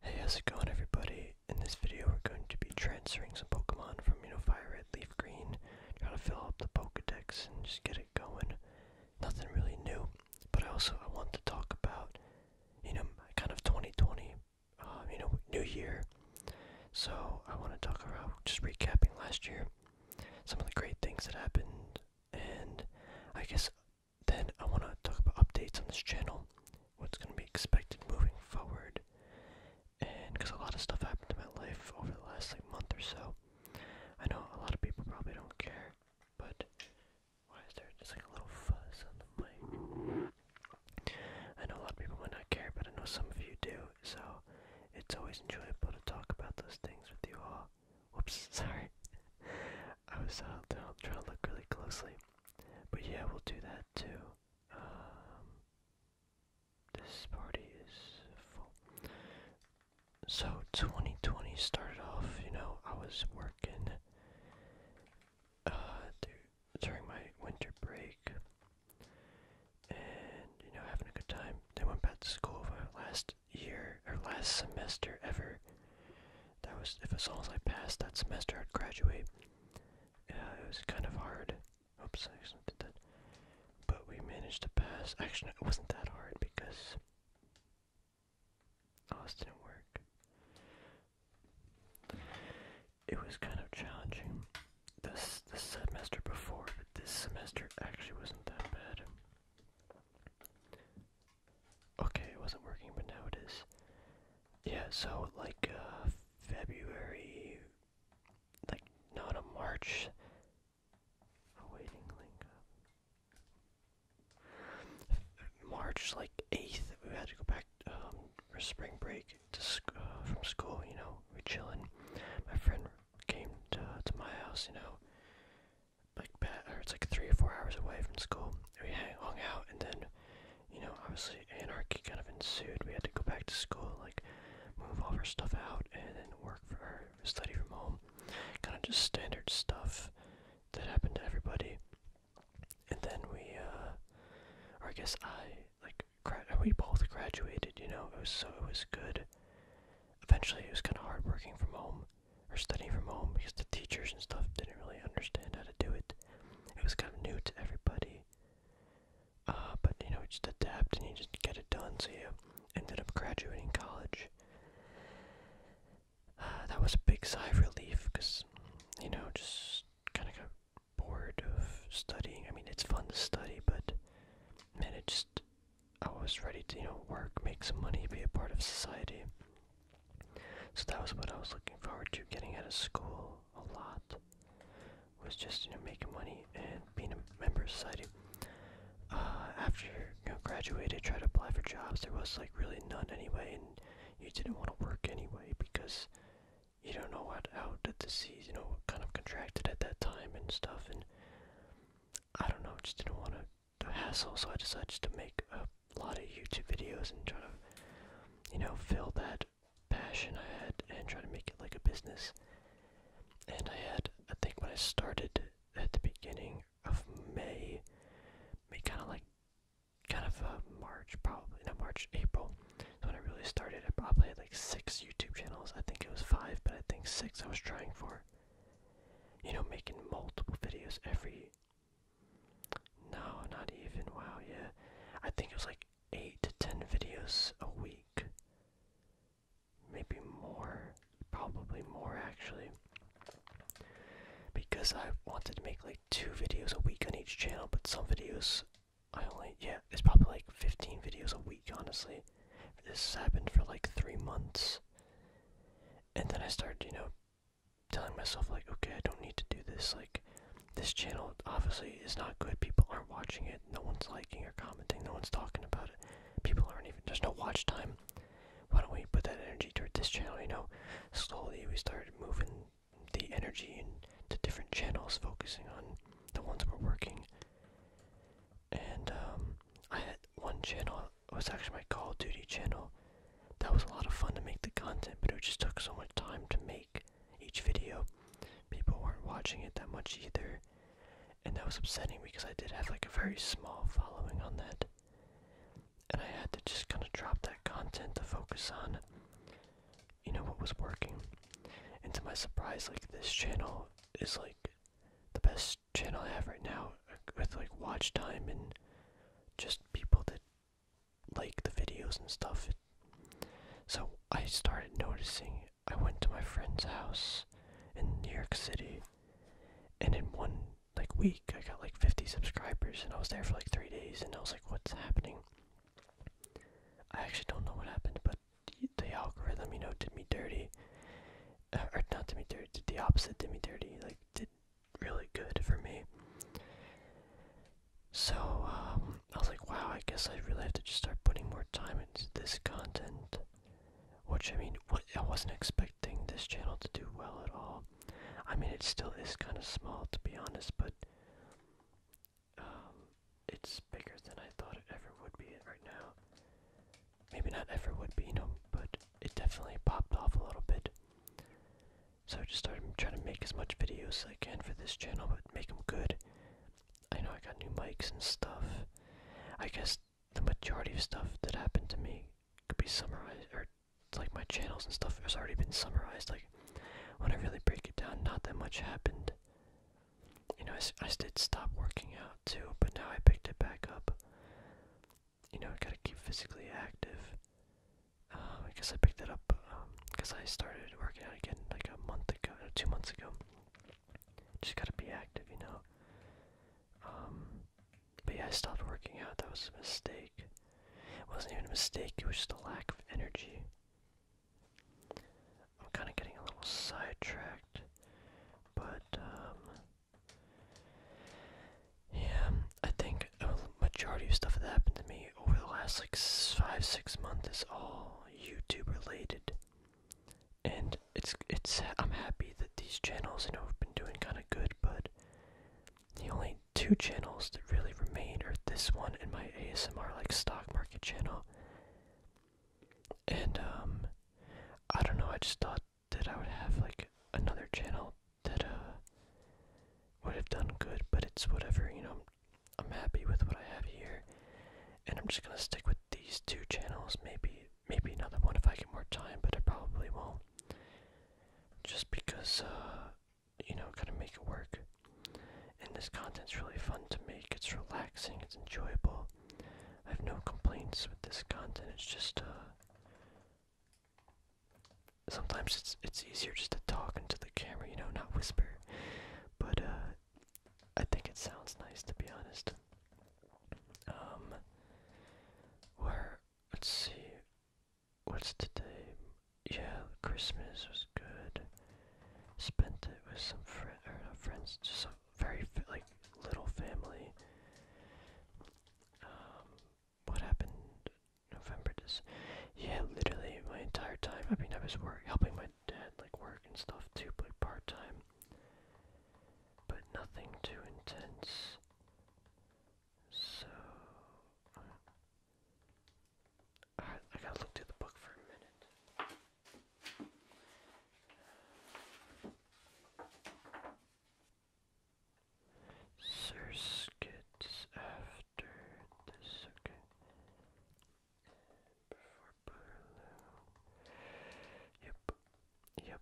Hey, how's it going everybody? In this video we're going to be transferring some Pokemon from, you know, Fire Red, Leaf Green, try to fill up the Pokedex and just get it going. Nothing really new, but I also I want to talk about, you know, kind of 2020, uh, you know, New Year. So I want to talk about just recapping last year, some of the great things that happened, and I guess then I want to talk about updates on this channel, what's going to be expected moving forward, and because a lot of stuff happened in my life over the last like month or so. I know a lot of people probably don't care, but why is there just like a little fuzz on the mic? I know a lot of people might not care, but I know some of you do, so it's always enjoyable to talk about those things with you all. Whoops, sorry. I was uh, I'll try to look really closely. But yeah, we'll do that too. Um, this party is full. So 2020 started off, you know, I was working uh, during my winter break and, you know, having a good time. Then went back to school for last year, or last semester ever that was if as long as I passed that semester, I'd graduate. Yeah, it was kind of hard. Oops, I accidentally did that. But we managed to pass. Actually, it wasn't that hard because. Oh, this It was kind of challenging. This the semester before, but this semester actually wasn't that bad. Okay, it wasn't working, but now it is. Yeah, so like uh, February, like not a March. Awaiting link March like eighth, we had to go back um, for spring break uh, from school. You know, we chilling. My friend came to my house. You know, like or it's like three or four hours away from school. We hang, hung out and then you know, obviously anarchy kind of ensued. We had to go back to school, like move all our stuff out, and then work for or study from home. Kind of just standard stuff that happened to everybody. And then we, uh, or I guess I, like, grad we both graduated. You know, it was so it was good. Eventually, it was kind of hard working from home or studying from home because the teachers and stuff didn't really understand how to do it. It was kind of new to everybody. Uh, but you know, you just adapt and you just get it done. So you ended up graduating college. Uh, that was a big sigh of relief because, you know, just kind of got bored of studying. I mean, it's fun to study, but man, it just I was ready to you know work, make some money, be a part of society. So that was what I was looking forward to getting out of school a lot. Was just you know making money and being a member of society. Uh, after you know, graduated, tried to apply for jobs. There was like really none anyway, and you didn't want to work anyway because you don't know what how the disease you know kind of contracted at that time and stuff. And I don't know, just didn't want to the hassle, so I decided to make a lot of YouTube videos and try to, you know, fill that passion I had and try to make it like a business. And I had, I think when I started at the beginning of May, May kind of like, kind of uh, March probably, no, March, April, when I really started, I probably had like six YouTube channels. I think it was five, but I think six I was trying for. You know, making multiple videos every no, not even. Wow, yeah. I think it was like 8 to 10 videos a week. Maybe more. Probably more, actually. Because I wanted to make like two videos a week on each channel, but some videos I only. Yeah, it's probably like 15 videos a week, honestly. This happened for like three months. And then I started, you know, telling myself like, okay, I don't need to do this. Like, this channel obviously is not good. People aren't watching it. No one's liking or commenting. No one's talking about it. People aren't even. There's no watch time. Why don't we put that energy toward this channel? You know, slowly we started moving the energy into different channels, focusing on the ones we're working. And um, I had one channel it was actually my Call of Duty channel. That was a lot of fun to make the content, but it just took so much time to make each video. People weren't watching it that much either. And that was upsetting because I did have like a very small following on that. And I had to just kind of drop that content to focus on, you know, what was working. And to my surprise, like this channel is like the best channel I have right now know, with like watch time and just people that like the videos and stuff. It, so I started noticing. I went to my friend's house in New York City, and in one like week, I got like 50 subscribers, and I was there for like three days, and I was like, "What's happening?" I actually don't know what happened, but the, the algorithm, you know, did me dirty, uh, or not did me dirty, did the opposite, did me dirty, like did really good for me. So, um, I was like, wow, I guess I really have to just start putting more time into this content. Which, I mean, what, I wasn't expecting this channel to do well at all. I mean, it still is kind of small, to be honest, but um, it's bigger than I thought it ever would be right now. Maybe not ever would be, no, but it definitely popped off a little bit. So I just started trying to make as much videos as I can for this channel, but make them good. I know I got new mics and stuff. I guess the majority of stuff that happened to me could be summarized, or like my channels and stuff has already been summarized. Like when I really break it down, not that much happened. You know, I, I did stop working out too, but now I picked it back up you know, I gotta keep physically active. Um, I guess I picked that up because um, I started working out again like a month ago, two months ago. Just gotta be active, you know. Um, but yeah, I stopped working out. That was a mistake. It wasn't even a mistake. It was just a lack of energy. I'm kind of getting a little sidetracked, but um, yeah, I think a majority of stuff that happened to me over the last like five, six months is all YouTube related. And it's it's I'm happy that these channels you know have been doing kind of good, but the only two channels that really remain are this one and my ASMR like stock market channel. And um I don't know, I just thought that I would have like another channel that uh would have done good, but it's whatever, you know. I'm, happy with what I have here, and I'm just gonna stick with these two channels. Maybe, maybe another one if I get more time, but I probably won't. Just because, uh, you know, kind of make it work. And this content's really fun to make. It's relaxing. It's enjoyable. I have no complaints with this content. It's just, uh, sometimes it's it's easier just to talk into the camera, you know, not whisper. But uh, I think it sounds nice to be honest. Um where let's see what's today? Yeah, Christmas was good. Spent it with some friend or not uh, friends, just a very like little family. Um, what happened November just yeah literally my entire time I mean I was work helping my dad like work and stuff too but part time but nothing too intense so uh, I, I gotta look through the book for a minute circuits after this, okay. Before Balloon. Yep, yep.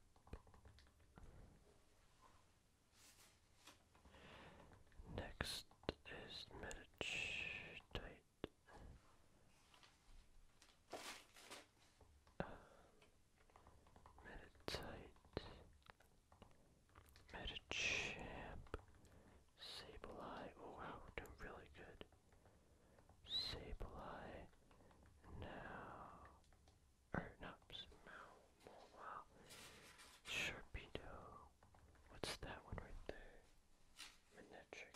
Next is Medichite. Meditate, Medichamp, Sableye, oh wow, doing really good. Sableye, now, er, not Smough, wow, Sharpedo, what's that one right there? Manetric,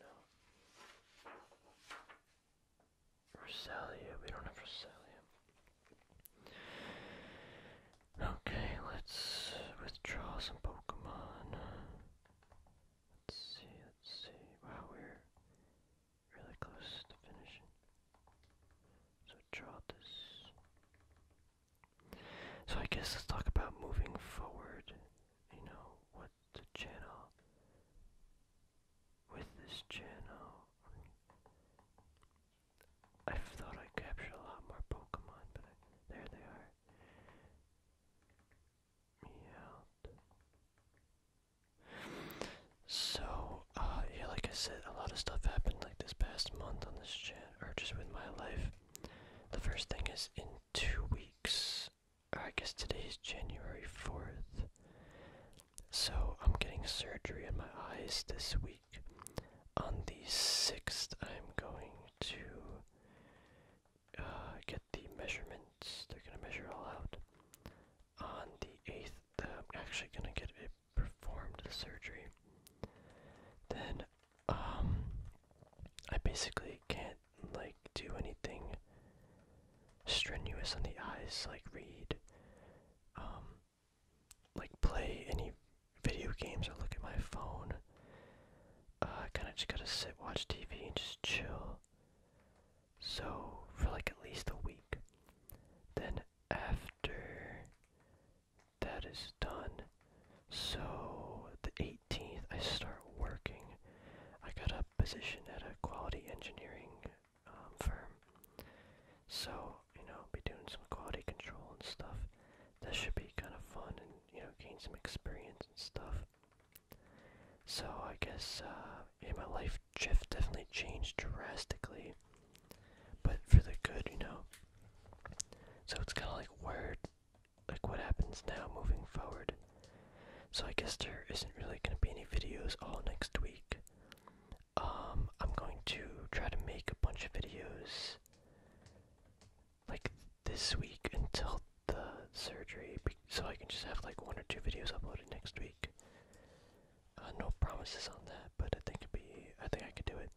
no. Rosalia, we don't have Rosalia. Okay, let's withdraw some Pokemon. Let's see, let's see. Wow, we're really close to finishing. So draw So I guess let's talk about moving forward. You know, what the channel with this channel. I thought I captured a lot more Pokemon, but there they are. So, uh, yeah, like I said, a lot of stuff happened like this past month on this channel, or just with my life. The first thing is in two weeks, I guess today is January 4th. So I'm getting surgery in my eyes this week. On the 6th, I'm going to uh, get the measurements. They're going to measure all out. On the 8th, I'm actually going to get it performed, the surgery. Then, um, I basically can't, like, do anything strenuous on the eyes, like read um, like play any video games or look at my phone. Uh, I kind of just gotta sit, watch TV, and just chill. So for like at least a week. Then after that is done, so the 18th I start working. I got a position at a quality engineering um, firm. So, you know, be doing some quality control and stuff. That should be kind of fun and, you know, gain some experience and stuff. So, I guess, uh, yeah, my life shift definitely changed drastically. But for the good, you know. So it's kind of like where, like what happens now moving forward. So I guess there isn't really going to be any videos all next week. Um, I'm going to try to make a bunch of videos like this week until the surgery, so I can just have like one or two videos uploaded next week. Uh, no promises on that, but I think it'd be. I think I could do it.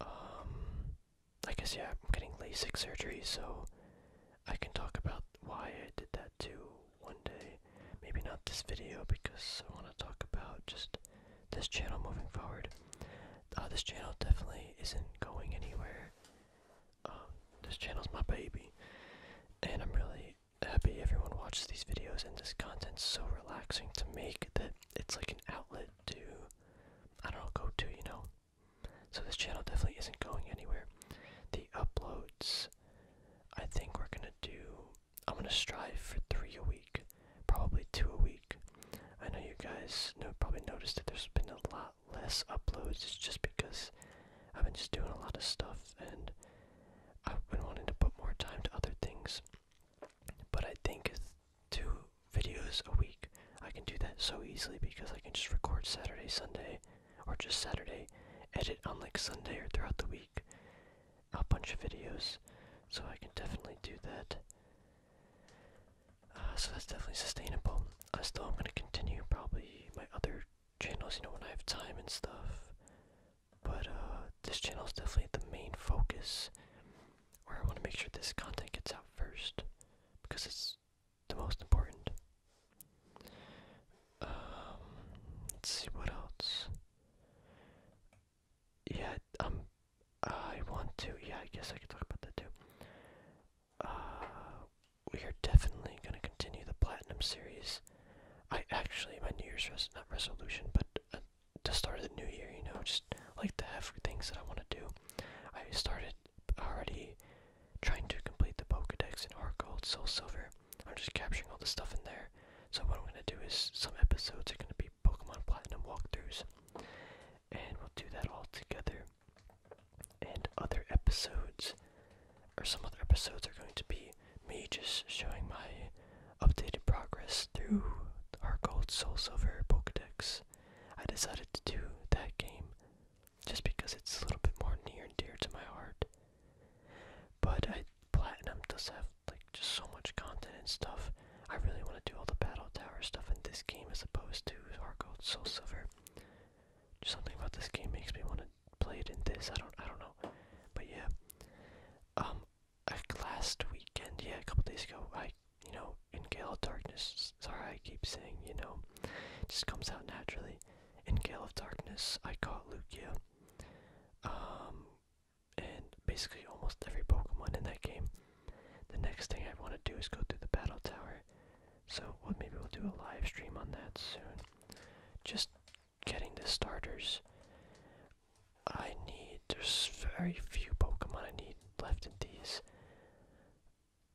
Um, I guess yeah. I'm getting LASIK surgery, so I can talk about why I did that too one day. Maybe not this video because I want to talk about just this channel moving forward. Uh, this channel definitely isn't going anywhere. Um, this channel's my baby, and I'm really happy everyone watches these videos. And this content's so relaxing to make that it's like an outlet to, I don't know, go to, you know. So this channel definitely isn't going anywhere. The uploads I think we're gonna do I'm gonna strive for three a week, probably two a week. I know you guys know probably noticed that there's been a lot less uploads. It's just because I've been just doing a lot of stuff and I've been wanting to put more time to other things. But I think two videos a week I can do that so easily because I can just record Saturday, Sunday, or just Saturday, edit on like Sunday or throughout the week a bunch of videos, so I can definitely do that. Uh, so that's definitely sustainable. I uh, still am going to continue probably my other channels, you know, when I have time and stuff. But uh, this channel is definitely the main focus, where I want to make sure this content gets out first, because it's the most important. Um, let's see what else. Yeah, um, I want to. Yeah, I guess I could talk about that too. Uh, we are definitely gonna continue the platinum series. I actually my New Year's res not resolution, but uh, to start of the new year, you know, just like the have things that I want to do. I started already trying to complete the Pokedex in Heart Gold, Soul Silver. I'm just capturing all the stuff in there. So what I'm gonna do is some episodes are gonna be Pokemon Platinum walkthroughs, and we'll do that all together. And other episodes, or some other episodes, are going to be me just showing my updated progress through our Gold Soul Silver Pokedex. I decided to do that game just because it's a little bit more near and dear to my heart. But I, Platinum does have like just so much content and stuff. I really want to do all the Battle Tower stuff in this game as opposed to Heart Soul Silver. Just something about this game makes me want to play it in this. I don't I don't know. But yeah. Um last weekend, yeah, a couple days ago, I you know, in Gale of Darkness, sorry I keep saying, you know, just comes out naturally. In Gale of Darkness, I caught Lucia, um, and basically almost every Pokemon in that game. The next thing I want to do is go through the Battle Tower, so maybe we'll do a live stream on that soon. Just getting the starters. I need, there's very few Pokemon I need left in these.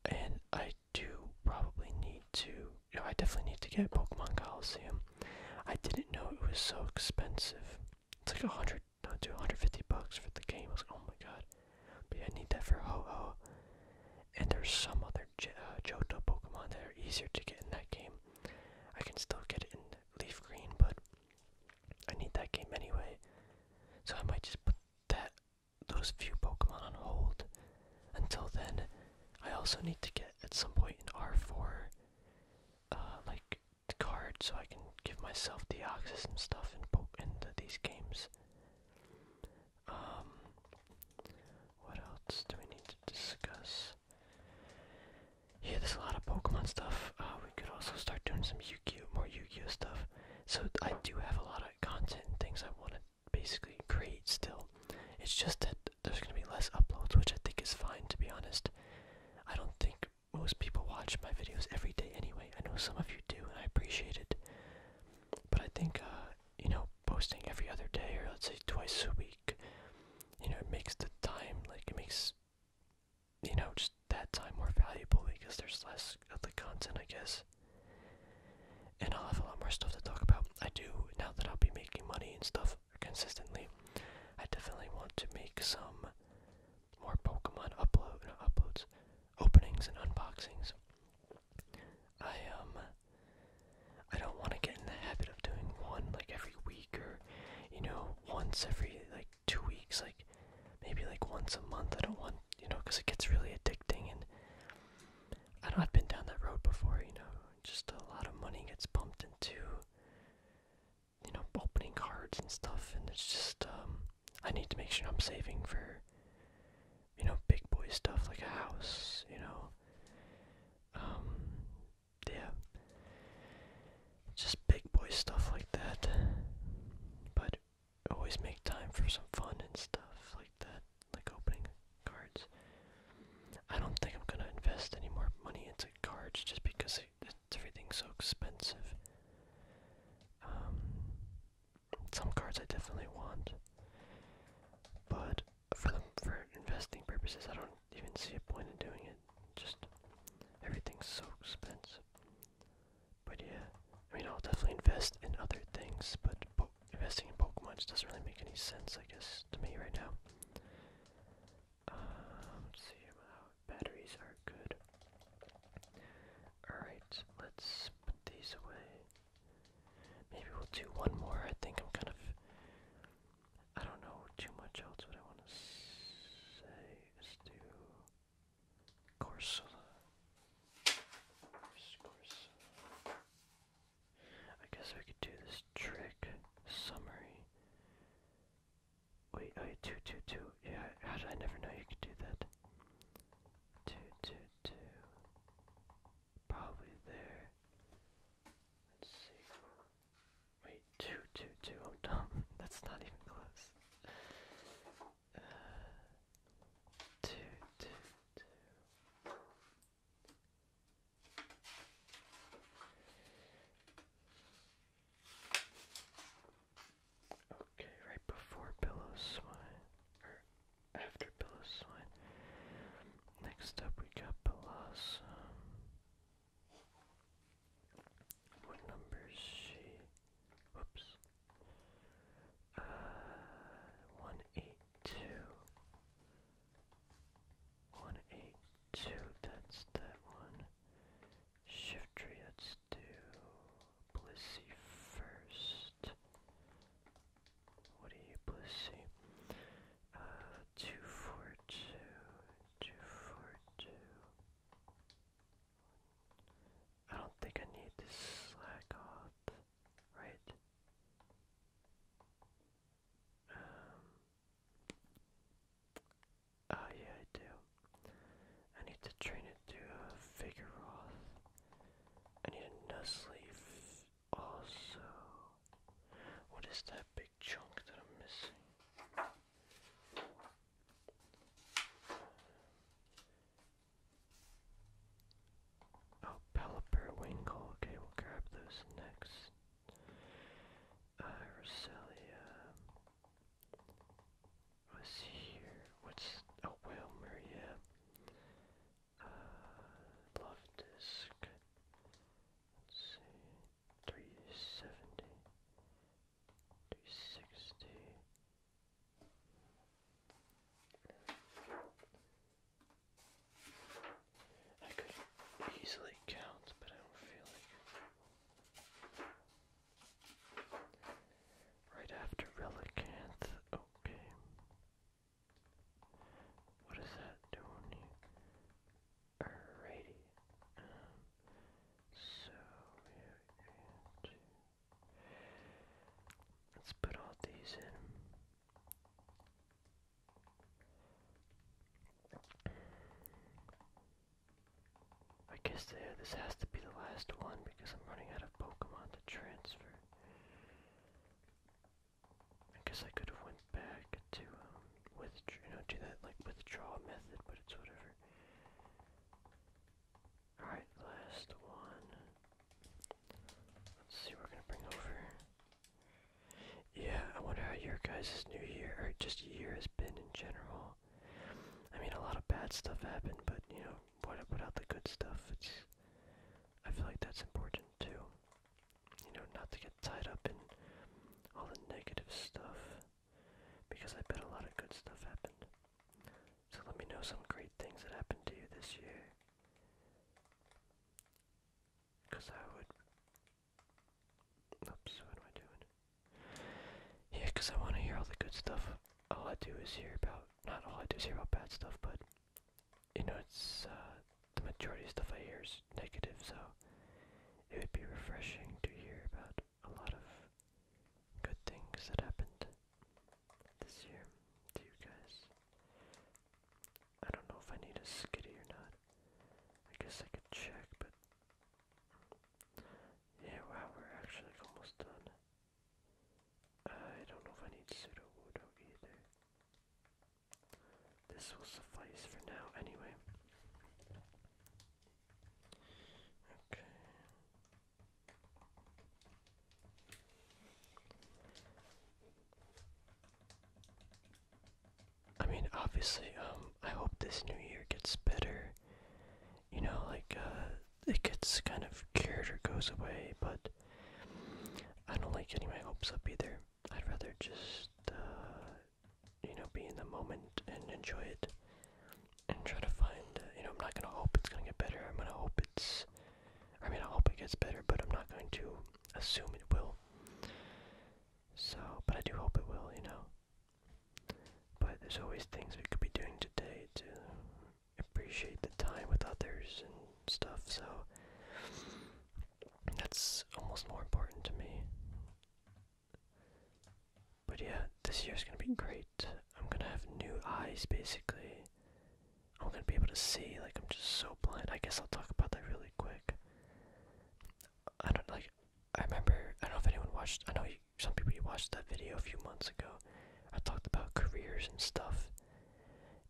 And I do probably need to you oh, I definitely need to get Pokemon Coliseum. I didn't know it was so expensive. It's like a hundred, no, hundred fifty bucks for the game. oh my god. But I need that for Ho Oh. And there's some other J uh, Johto Pokemon that are easier to get in that game. I can still get it in Leaf Green, but I need that game anyway. So I might just put that those few Pokemon on hold until then, I also need to get at some point an R4, uh, like, card so I can give myself the access and stuff and poke into these games. Um, what else do we need to discuss? Yeah, there's a lot of Pokemon stuff. Uh, we could also start doing some Yu-Gi-Oh, more Yu-Gi-Oh stuff. So I do have a lot of content and things I want to basically great. still. It's just that there's going to be less uploads, which I think is fine to be honest. I don't think most people watch my videos every day anyway. I know some of you do, and I appreciate it. But I think, uh, you know, posting every other day or let's say twice a week, you know, it makes the time, like, it makes, you know, just that time more valuable because there's less of the content, I guess and I'll have a lot more stuff to talk about. I do now that I'll be making money and stuff consistently. I definitely want to make some more Pokemon upload uploads, openings and unboxings. I um I don't want to get in the habit of doing one like every week or you know once every like two weeks like maybe like once a month. I don't want you know because it gets really addicting and I know I've been down that road before, you know, just a lot of money gets pumped into, you know, opening cards and stuff, and it's just, um, I need to make sure I'm saving for, you know, big boy stuff like a house, you know, um, yeah, just big boy stuff like that, but always make time for some fun and stuff like that like opening cards. I don't think I'm gonna invest any more money into cards just because it, everything's so expensive. Um, some cards I definitely want, but for the, for investing purposes, I don't even see a point in doing it. Just everything's so expensive. But yeah, I mean I'll definitely invest in other things, but, but investing in Pokemon just doesn't really make any sense, I guess, to me right now. Um, let's see how batteries are good. Alright, let's put these away. Maybe we'll do one more. I think I'm kind of. I don't know too much else what I want to say. let do. Corsola. I guess we could do this trick summary. Wait, oh, two, two, two. Yeah, how did I never know you could do that? Two, two, two. Probably there. Let's see. Wait, two, two, two. I'm dumb. That's not even close. Uh, two, two, two. Okay, right before Billow or after Billow Next up, we got Blossom. What number is she? Whoops. Uh, 182. One eight two. That's that one. Shift tree. Let's do first. What do you Blissey? Uh, two four two. Two four two. I don't think I need this slack off right? oh yeah, I do. I need to train it to figure uh, Vigoroth. I need a leaf. also. What is that big chunk that I'm missing? Oh, Pelipperwinkle. Okay, we'll grab those next. Uh, Roselia here. What's oh Wilmer, yeah. Uh, let Let's see. 370. 360. I could easily count, but I don't feel like. Right after Relicanth, okay. What is that doing? Alrighty. Um, so, let's put all these in. I guess this has to be the last one because I'm running out of Pokemon to transfer. I guess I could have went back to um, you know, do that like withdraw method, but it's whatever. Alright, last one. Let's see what we're gonna bring over. Yeah, I wonder how your guys' new year, or just year has been in general. I mean, a lot of bad stuff happened, but you know, what out the good stuff? It's, I feel like that's important too. You know, not to get tied up in all the negative stuff, because I bet a lot of good stuff happened. So let me know some great things that happened to you this year. Because I would. Oops, what am I doing? Yeah, because I want to hear all the good stuff. All I do is hear about. Not all I do is hear about bad stuff, but. You know, it's. Uh, the majority of stuff I hear is negative, so. It would be refreshing to hear about a lot of good things that happened this year to you guys. I don't know if I need a skitty or not. I guess I could check, but yeah, wow, we're actually almost done. I don't know if I need pseudo wudo either. This will suffice for now, anyway. Okay. I mean, obviously, um, I hope this new year gets better. You know, like, uh, it gets kind of cured or goes away, but I don't like getting my hopes up either. I'd rather just, uh, you know, be in the moment and enjoy it and try to find, uh, you know, I'm not gonna hope it's gonna get better. I'm gonna hope it's I mean, I hope it gets better, but I'm not going to assume it will. So, but I do hope it will, you know. But there's always things we could be doing today to appreciate the time with others and stuff, so that's almost more important to me. But yeah, this year's gonna be great. I'm gonna have new eyes basically. I'm gonna be able to see. Like I'm just so blind. I guess I'll talk about that really quick. I don't like. I remember. I don't know if anyone watched. I know some people you watched that video a few months ago. I talked about careers and stuff,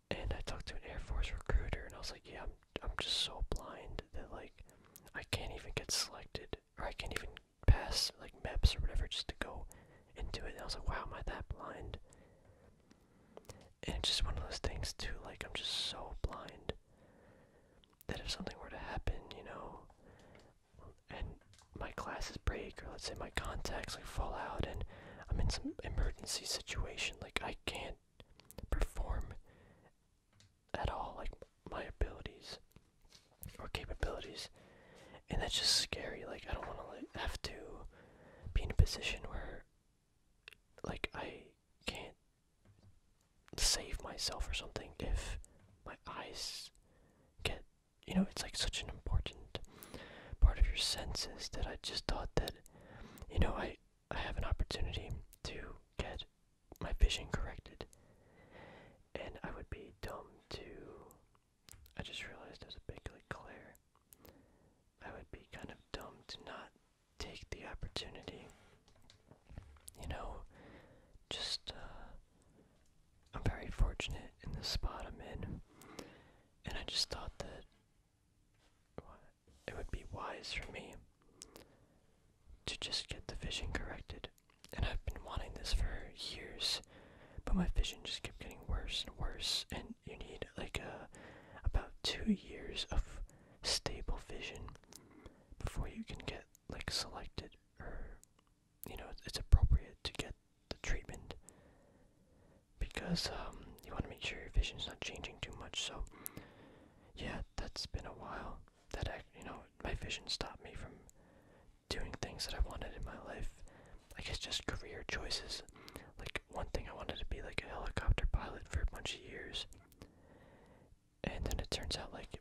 and I talked to an Air Force recruiter, and I was like, yeah, I'm I'm just so blind that like I can't even get selected, or I can't even pass like MEPS or whatever just to go into it. And I was like, wow, am I that blind? And it's just one of those things too, like I'm just so blind that if something were to happen, you know, and my classes break, or let's say my contacts like fall out, and I'm in some emergency situation, like I can't perform at all, like my abilities or capabilities, and that's just scary. Like I don't want to have to be in a position where like I can't save myself or something if my eyes get you know it's like such an important part of your senses that I just thought that you know I I have an opportunity to get my vision corrected and I would be dumb to I just realized as a big like Claire, I would be kind of dumb to not take the opportunity. You know, just uh, I'm very fortunate in the spot I'm in, and I just thought that it would be wise for me to just get the vision corrected. And I've been wanting this for years, but my vision just kept getting worse and worse, and you need like a, uh, about two years of stable vision before you can get like selected or you know it's appropriate to get the treatment because um, you want to make sure your vision's not changing too much. So yeah, that's been a while. That I, you know, my vision stopped me from doing things that I wanted in my life. I guess just career choices. Like one thing I wanted to be like a helicopter pilot for a bunch of years. And then it turns out like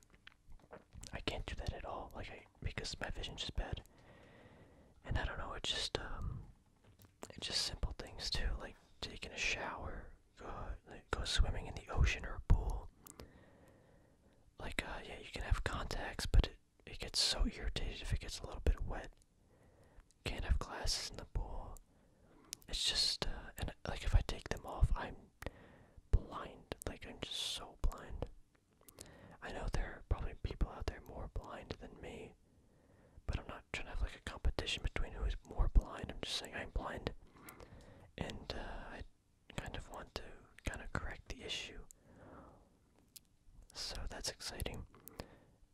I can't do that at all. Like I because my vision's just bad. And I don't know, it's just um it's just simple things too, like taking a shower, go go swimming in the ocean or a pool. Like uh yeah, you can have contacts, but it gets so irritated if it gets a little bit wet. Can't have glasses in the pool. It's just, uh, and like if I take them off, I'm blind. Like I'm just so blind. I know there are probably people out there more blind than me, but I'm not trying to have like a competition between who is more blind. I'm just saying I'm blind, and uh, I kind of want to kind of correct the issue. So that's exciting.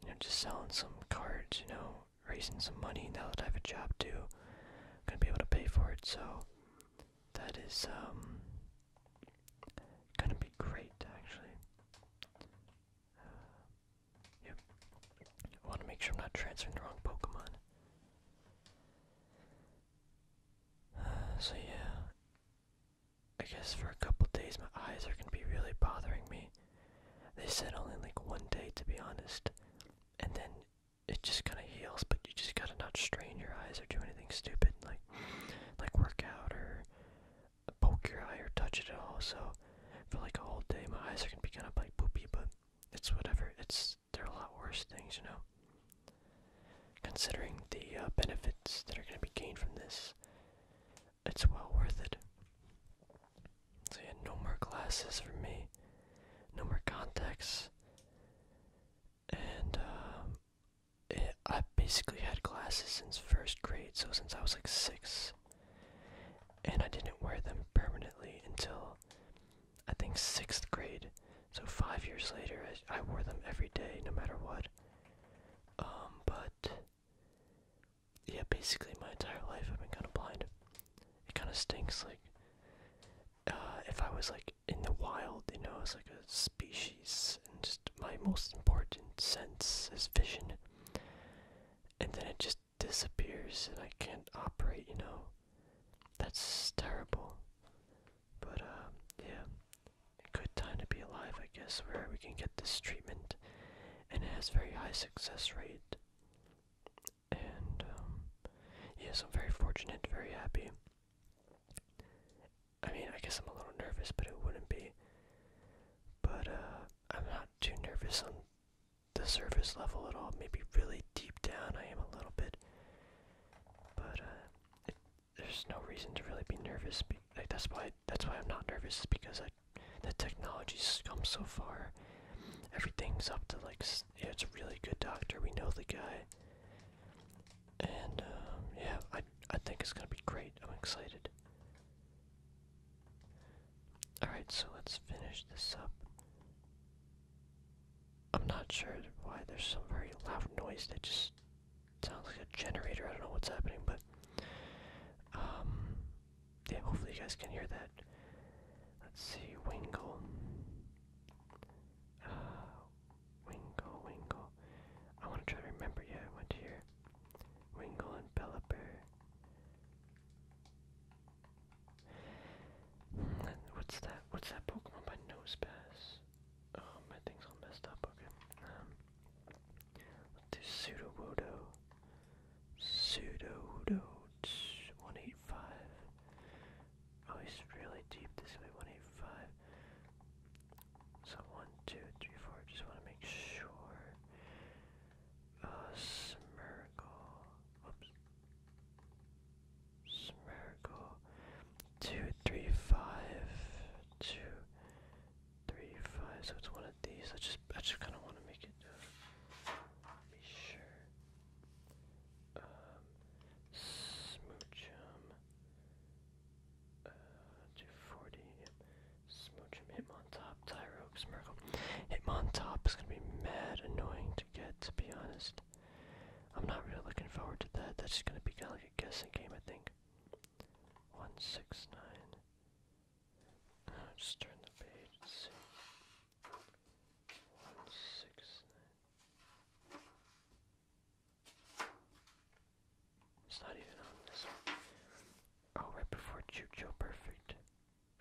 You know, just selling some cards, you know, raising some money now that I have a job too. gonna be able to pay for it, so that is um gonna be great actually. Uh, yep. wanna make sure I'm not transferring the wrong Pokemon. Uh, so yeah. I guess for a couple days my eyes are going to be really bothering me. They said only like one day to be honest. And then it just kind of heals, but you just got to not strain your eyes or do anything stupid like like work out or poke your eye or touch it at all. So for like a whole day my eyes are going to be kind of like poopy, but it's whatever. It's there are a lot worse things, you know. Considering the uh, benefits that are going to be gained from this, it's well worth it. So yeah, no more glasses for me, no more contacts, and um, I basically had glasses since first grade, so since I was like six, and I didn't wear them permanently until I think sixth grade. So five years later, I, I wore them every day, no matter what. Um, but yeah, basically my entire life I've been kind of blind. It kind of stinks. Like, uh, if I was like in the wild, you know, as like a species, and just my most important sense is vision, and then it just disappears, and I can't operate. You know, that's terrible. But uh, yeah, good time to be alive, I guess, where we can get this treatment, and it has very high success rate. And um, yes, I'm very fortunate, very happy. I mean, I guess I'm a little nervous, but it wouldn't be. But uh, I'm not too nervous on the surface level at all. Maybe really deep down, I am a little bit. But uh, there's no reason to really be nervous. like that's why that's why I'm not nervous because I, the technology's come so far. Everything's up to like it's a really good doctor. We know the guy. And um, yeah, I I think it's gonna be great. I'm excited. Alright, so let's finish this up. I'm not sure why there's some very loud noise that just sounds like a generator. I don't know what's happening, but um, yeah. Hopefully you guys can hear that. Let's see, Wingle. Uh, Wingle, Wingle. I want to try to remember. Yeah, I went here. Wingle and Pelipper. Hmm, what's that? What's that Pokemon by Nosepass? Oh, my thing's all messed up. Okay. Um, let's do pseudo Pseudo 185. Oh, he's really deep this way. 185. So one, two, three, four. Just want to make sure. Uh, Smirgle. Oops. Smirgle. Two, three, three, five, so it's one of these. I just I just kinda wanna make it uh, be sure. Um Smoochum uh two forty Smoochum Hitmontop, Him on top is gonna be mad annoying to get to be honest. I'm not really looking forward to that. That's just gonna be kinda like a guessing game I think. 169. Just turn the page 169. It's not even on this one. Oh, right before Jujo Perfect.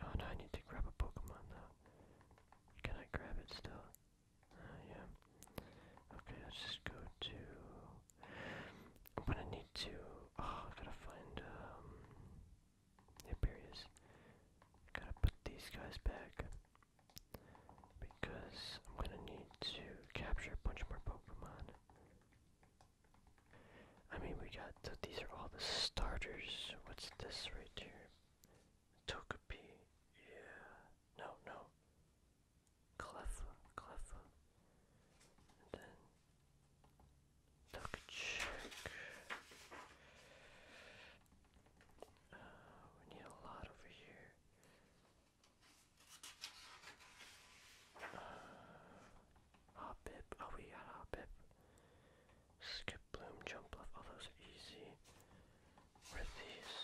Oh no, I need to grab a Pokemon now. Can I grab it still? Uh, yeah. Okay, let's just go to I'm gonna need to. Oh, I gotta find. Um, Gotta put these guys back because I'm gonna need to capture a bunch more Pokemon. I mean, we got these are all the starters. What's this right here? Togepi. Yeah. No, no clever, clever, then duck check. Uh, we need a lot over here. Uh, hop bib. Oh, we got hop bib. Skip bloom jump left. All oh, those are easy. Where these?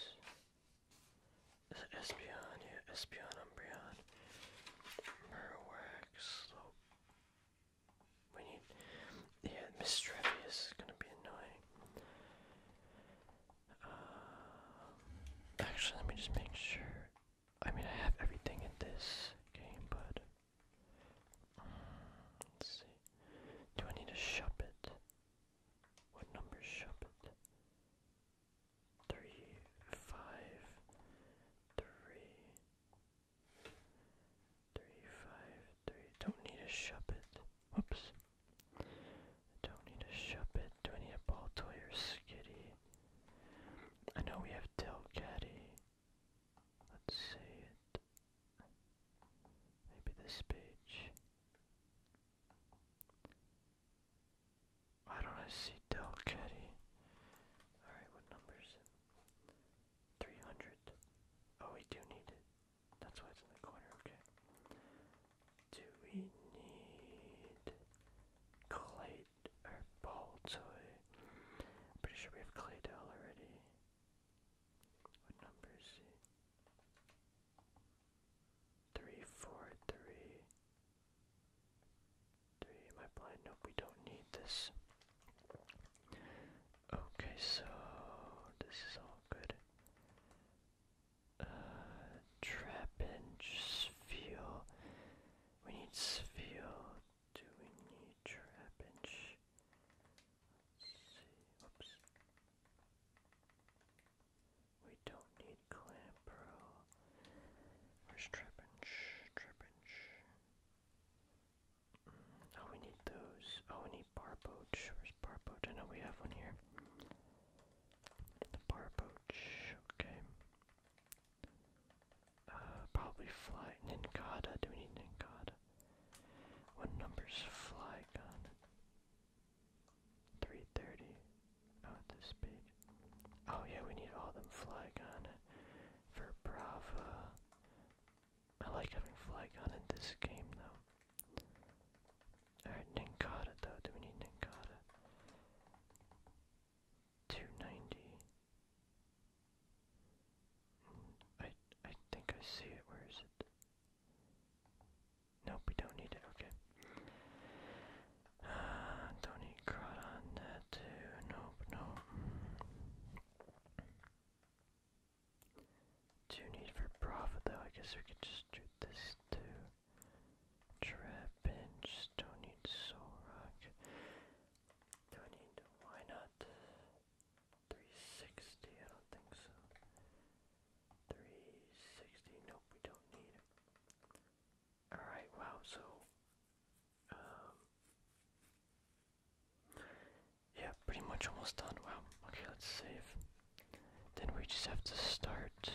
Is it Espeon? Yeah, Espeon Umbreon. We need. Yeah, Miss Trevius is gonna be annoying. Uh, actually, let me just make sure. I mean, I have everything in this game, but. Mm, let's see. Do I need a Shuppet? What number Shuppet? three, five, three, three, five, three. Don't need a shuppet. Whoops. Don't need a shuppet. Do I need a ball toy or skitty? I know we have Delcatty. Let's see it. Maybe this page. Why don't I see Del Caddy? Alright, what number 300. Oh, we do need it. That's why it's in the corner, okay. Do we need Clayt or Baltoy? pretty sure we have Claydell already. What number Three, four, three. Three, blind? Nope, we don't need this. Okay, so this is all good. Uh, trap feel. We need feel. Do we need trap Let's see. Oops. We don't need clip, bro. Where's Trapinch? Trapinch. oh, we need those. Oh, we need bar Where's bar I know we have one here. The bar Okay. Uh, probably fly. Ninkada. Do we need Ninkada? What number's fly gun? 330. Oh, this page. Oh yeah, we need all them Flygon for Brava. I like having Flygon in this game though. Alright, Ninkata though. Do we need Ninkata? 290. Hmm, I I think I see it. Where is it? Nope, we don't need it. Okay. Uh, don't need crud Nope, nope. Do need for profit though. I guess we could just do this too. Trap bench. Don't need soul Don't need. Why not? 360. I don't think so. 360, nope, we don't need Alright, wow, so, um, yeah, pretty much almost done, wow, okay, let's save. Then we just have to start,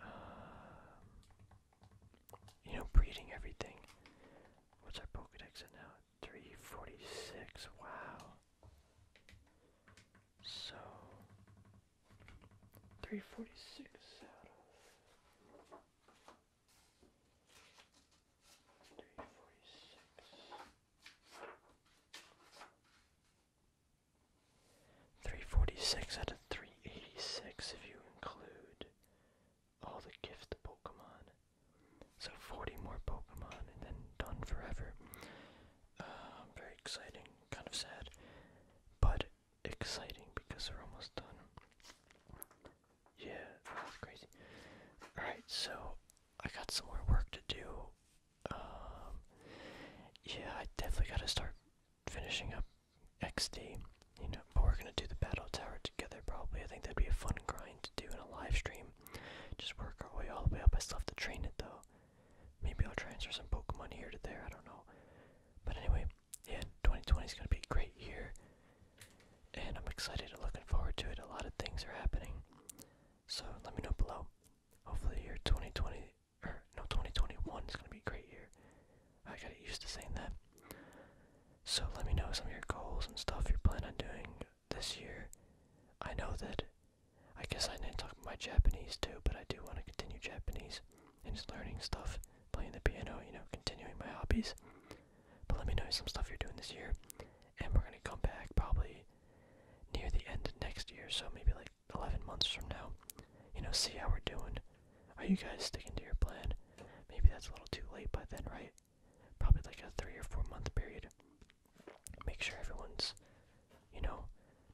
um, you know, breeding everything. What's our Pokedex at now? 346, wow. So, 346 out of 346. out of 386 if you include all the gift Pokemon. So 40 more Pokemon and then done forever. Uh, very exciting kind of sad, but exciting because we're almost done. Yeah, that's crazy. Alright, so I got some more work to do. Um, yeah, I definitely gotta start finishing up XD, you know, but we're gonna do the Battle Tower together probably. I think that'd be a fun grind to do in a live stream. Just work our way all the way up. I still have to train it though. Maybe I'll transfer some Pokemon here to there. I don't know. But anyway, yeah, 2020 is gonna be great here, and I'm excited and looking forward to it. A lot of things are happening, so let me know below. Hopefully, your 2020 or no 2021 is gonna be great year. I got used to saying that. So let me know some of your goals and stuff you're planning on doing this year. I know that I guess I didn't talk about my Japanese too, but I do want to continue Japanese and just learning stuff, playing the piano, you know, continuing my hobbies. But let me know some stuff you're doing this year, and we're gonna come back probably near the end of next year, so maybe like 11 months from now. You know, see how we're doing. Are you guys sticking to your plan? Maybe that's a little too late by then, right? Probably like a three or four month period make sure everyone's, you know,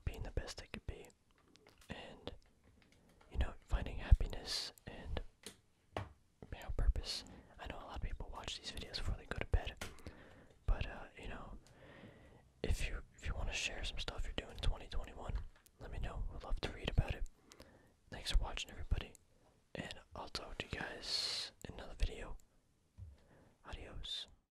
being the best they could be, and you know, finding happiness and you know, purpose. I know a lot of people watch these videos before they go to bed, but uh, you know, if you if you want to share some stuff you're doing in 2021, let me know. We'd love to read about it. Thanks for watching, everybody, and I'll talk to you guys in another video. Adios.